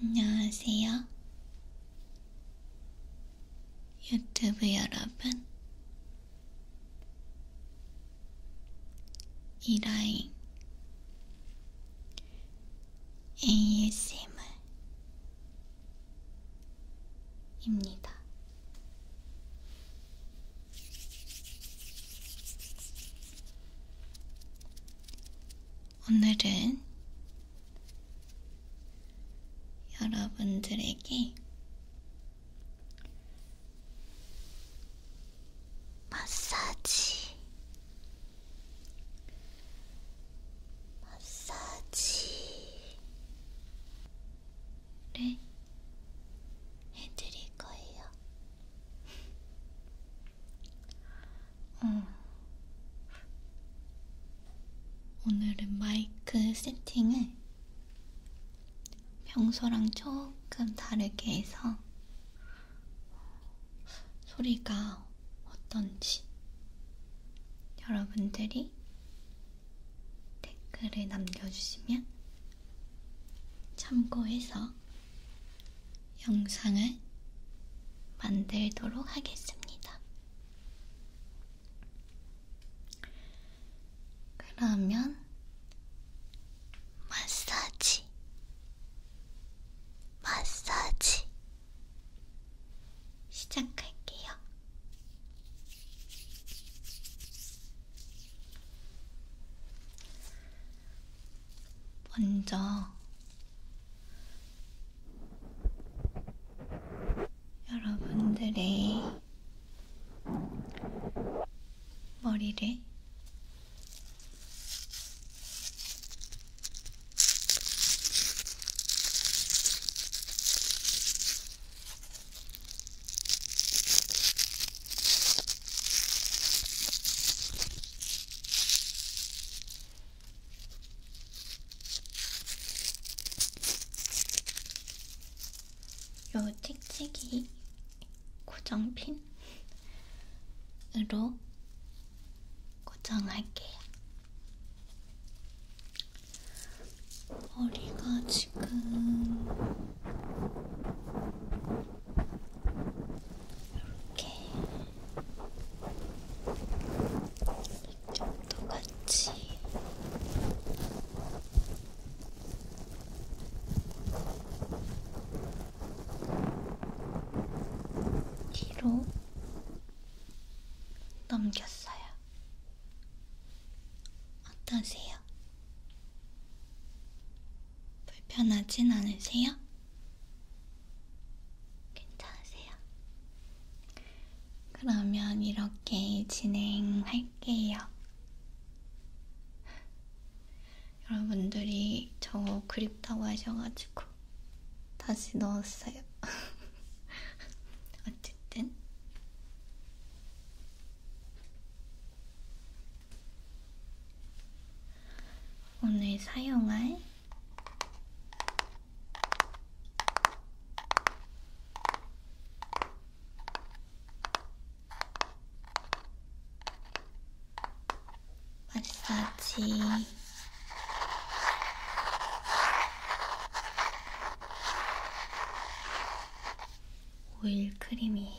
안녕하세요. 유튜브 여러분, 이 라인 ASMR입니다. 오늘은 여러분들에게 마사지 마사지를 네? 해드릴 거예요. 어. 오늘은 마이크 세팅을 평소랑 조금 다르게 해서 소리가 어떤지 여러분들이 댓글을 남겨주시면 참고해서 영상을 만들도록 하겠습니다. 그러면 마사지 마사지 시작할게요. 먼저 여러분들의 머리를 요 찍찍이 고정핀 으로 고정할게요. 머리가 지금 이렇게 이쪽도 같이 2로 넘겼어요. 어떠세요? 불편하진 않으세요? 괜찮으세요? 그러면 이렇게 진행할게요. 여러분들이 저거 그립다고 하셔가지고 다시 넣었어요. 어쨌든 오늘 사용할 마사지 오일 크림이에요.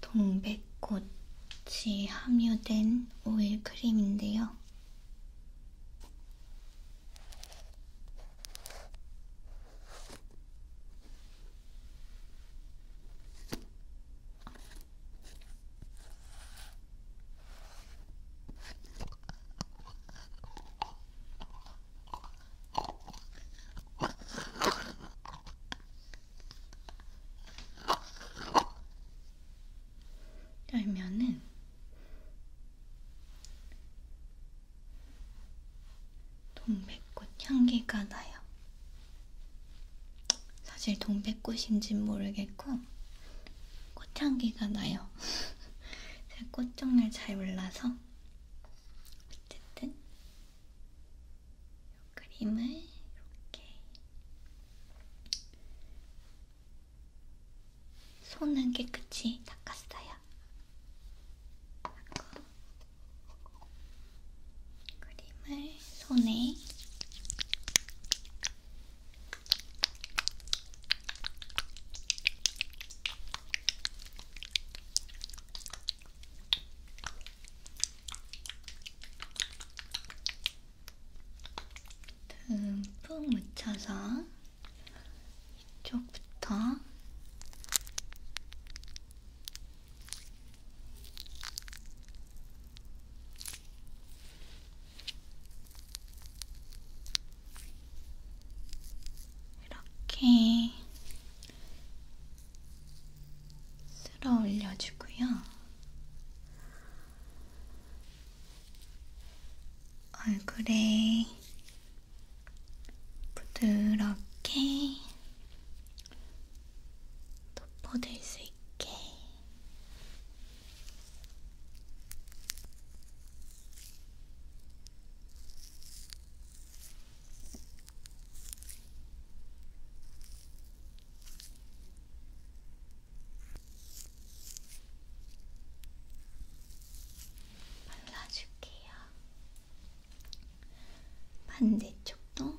동백꽃이 함유된 오일 크림인데요. 열면은 동백꽃 향기가 나요. 사실 동백꽃인진 모르겠고 꽃향기가 나요. 제가 꽃 종류를 잘 몰라서 어쨌든 그림을 이렇게 손은 깨끗이 닦았어요. 그리고 그림을 손에 듬뿍 묻혀서 이쪽부터 이렇게 쓸어 올려주고요. 얼굴에 부드럽게 덮어둘 수 있게 발라줄게요. 반대쪽도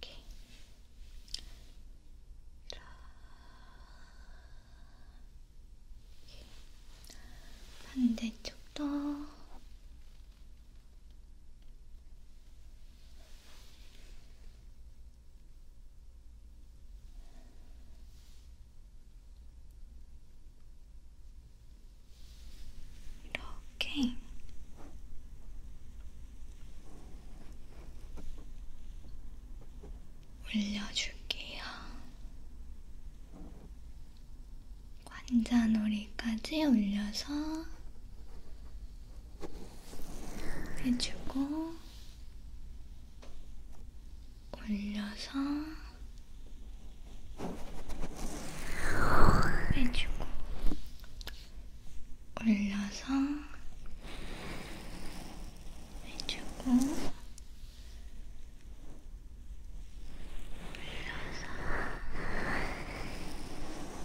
이렇게 이렇게 반대쪽도 이렇게 이렇게 올려줄게요. 관자놀이까지 올려서 해주고 올려서 해주고 올려서 해주고 올려서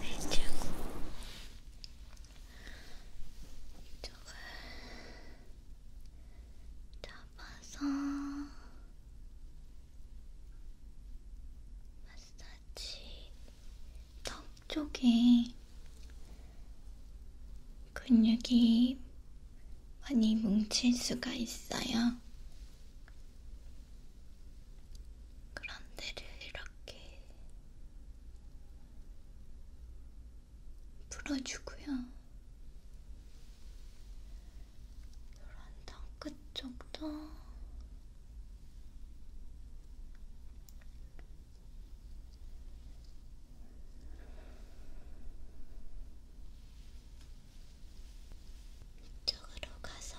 해주고 이쪽을 잡아서 마사지 턱 쪽에 근육이 많이 뭉칠 수가 있어요. 그런 데를 이렇게 풀어주고요. 노란 턱 끝쪽도 이쪽으로 가서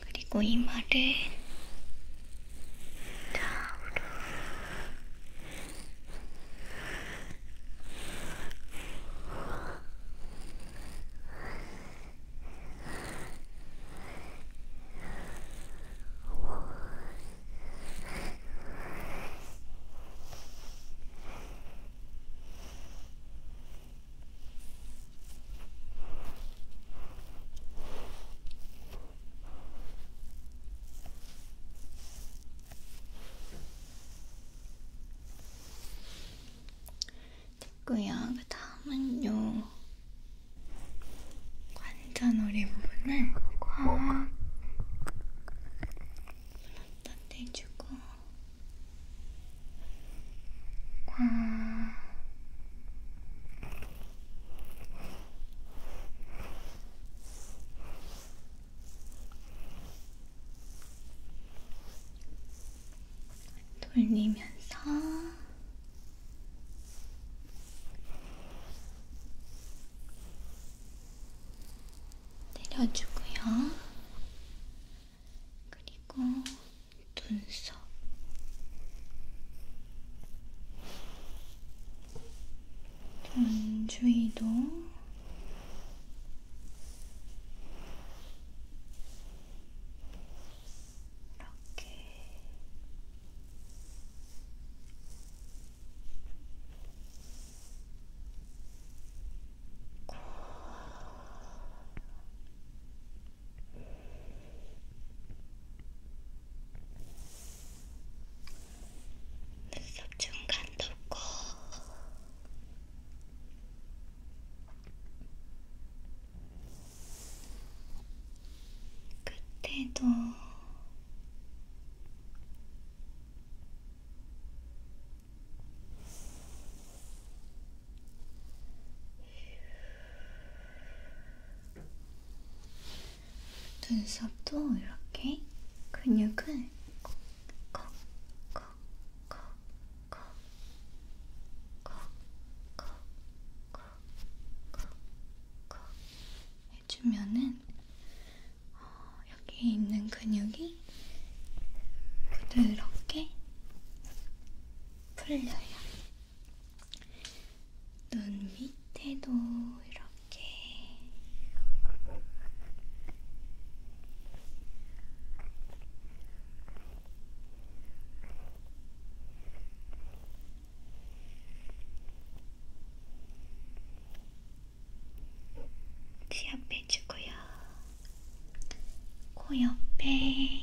그리고 이마를 좌우로 됐고요. 그 다음은요. 관자놀이 부분을 꽉 갖다 대주고 아... 돌리면서 내려주고요. 그리고 눈썹. 눈 주위도 이렇게 눈썹 중간 덮고 끝에도 눈썹도 이렇게 근육을 콕콕콕콕콕콕콕콕콕콕 해주면은 어, 여기 있는 근육이 부드럽게 풀려요. 눈 밑에도 이렇게 귀 옆에 주고요. 코 옆에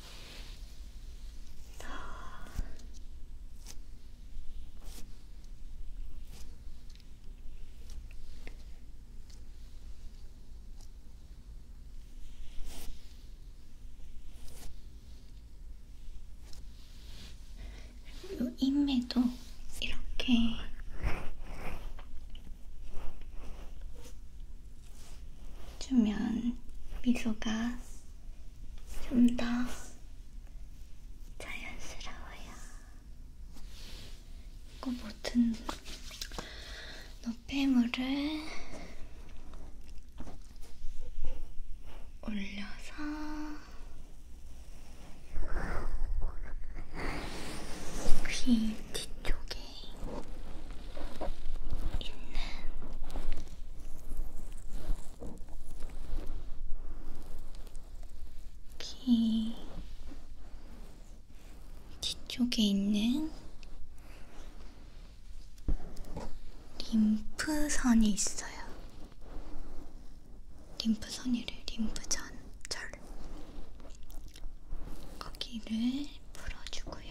요 인매도 이렇게 주면 미소가 좀 더 자연스러워요. 그 모든 노폐물을 올려서 귀 뒤쪽에 있는 귀 뒤쪽에 있는 림프선이 있어요. 림프선이래, 림프전, 절. 거기를 풀어주고요.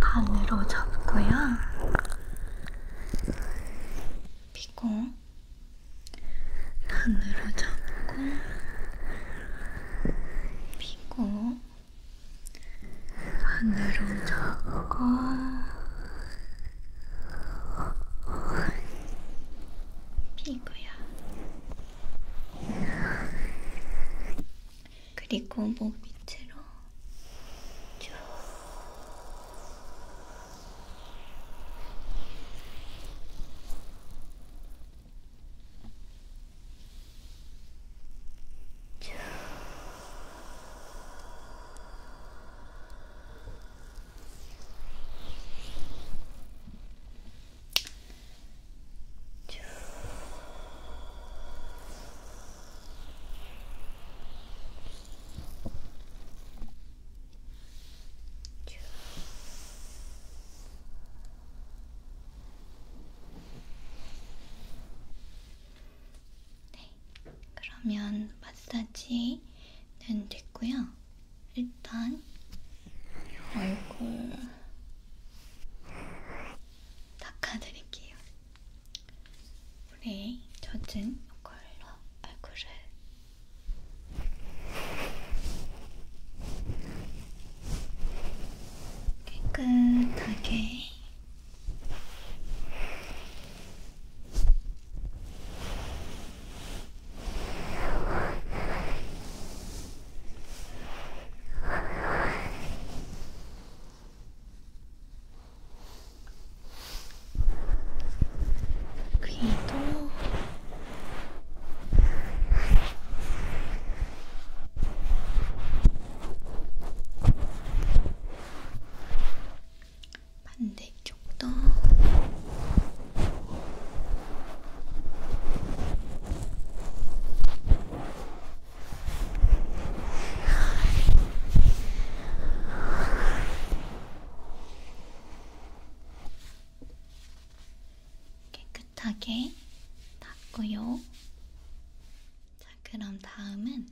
안으로 접고요. 피고 안으로 접고 피고 안으로 접고 피고요. 그리고 목 밑으로 쭉 쭉, 네, 그러면 마사지는 됐고요. 일단 얼굴 닦아드릴게요. 물에 젖은 이걸로 얼굴을 깨끗하게 귀도 반대쪽도 깨끗하게 닦고요. 자, 그럼 다음은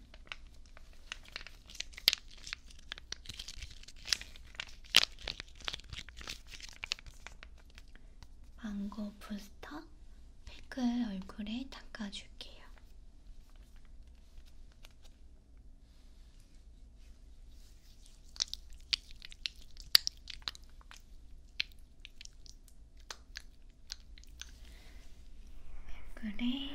망고 부스터 컬러에다가 팩을 얼굴에 닦아줄게요. 얼굴에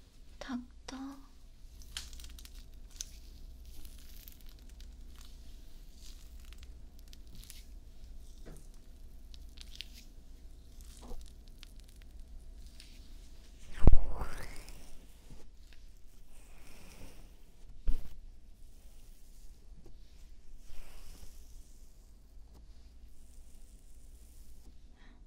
닥터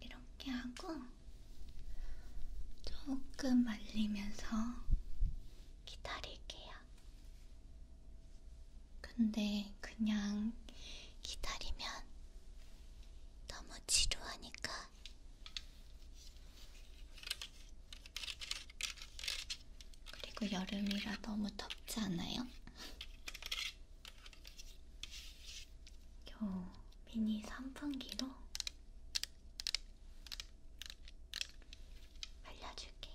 이렇게 하고 조금 말리면서 기다릴게요. 근데 그냥 기다리면 너무 지루하니까 그리고 여름이라 너무 덥지 않아요? 요 미니 선풍기로 알려줄게요.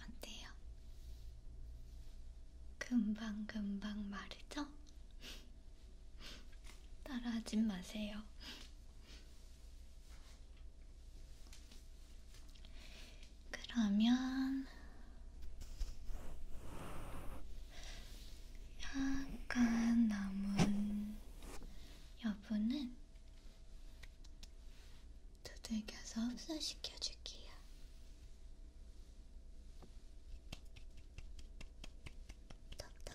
어때요? 금방금방 마르죠? 따라하지 마세요. 그러면 약간 남은 여분은 두들겨서 흡수시켜줄게요. 덥다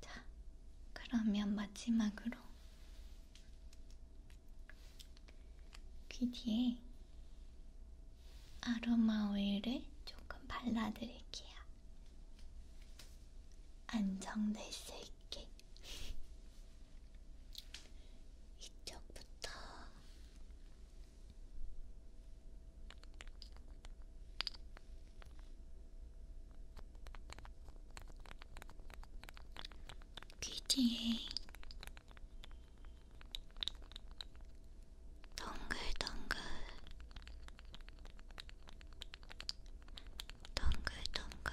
자, 그러면 마지막으로 귀 뒤에 아로마 오일을 조금 발라드릴게요. 안정될 수 있게. 이쪽부터 귀지에 동글동글 동글동글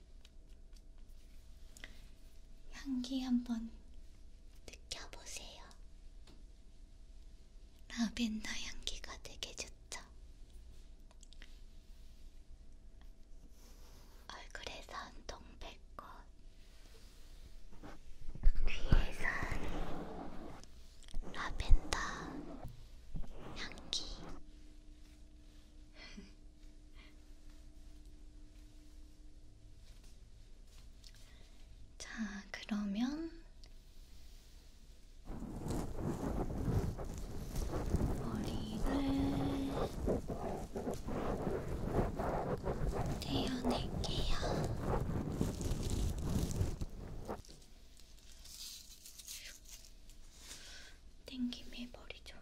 향기 한번 느껴보세요. 라벤더 향기가 되게 좋죠? 얼굴에선 동백꽃, 귀에선 라벤더 향기. 자, 그러면 머리를 떼어낼게요. 땡김에 머리 좀.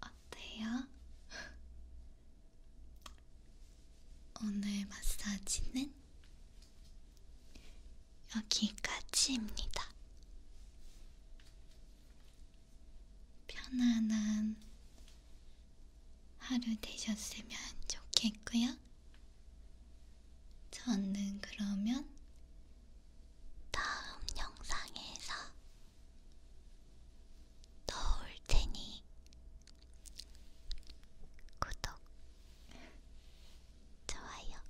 어때요? 오늘 마사지는 여기까지입니다. 편안한 하루 되셨으면 좋겠고요. 저는 그러면 다음 영상에서 또올 테니 구독, 좋아요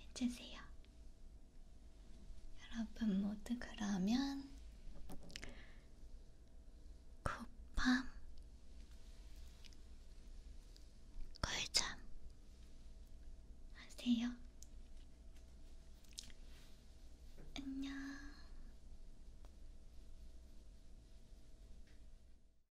해주세요. 여러분 모두 그러면 굿밤 꿀잠 하세요. 안녕.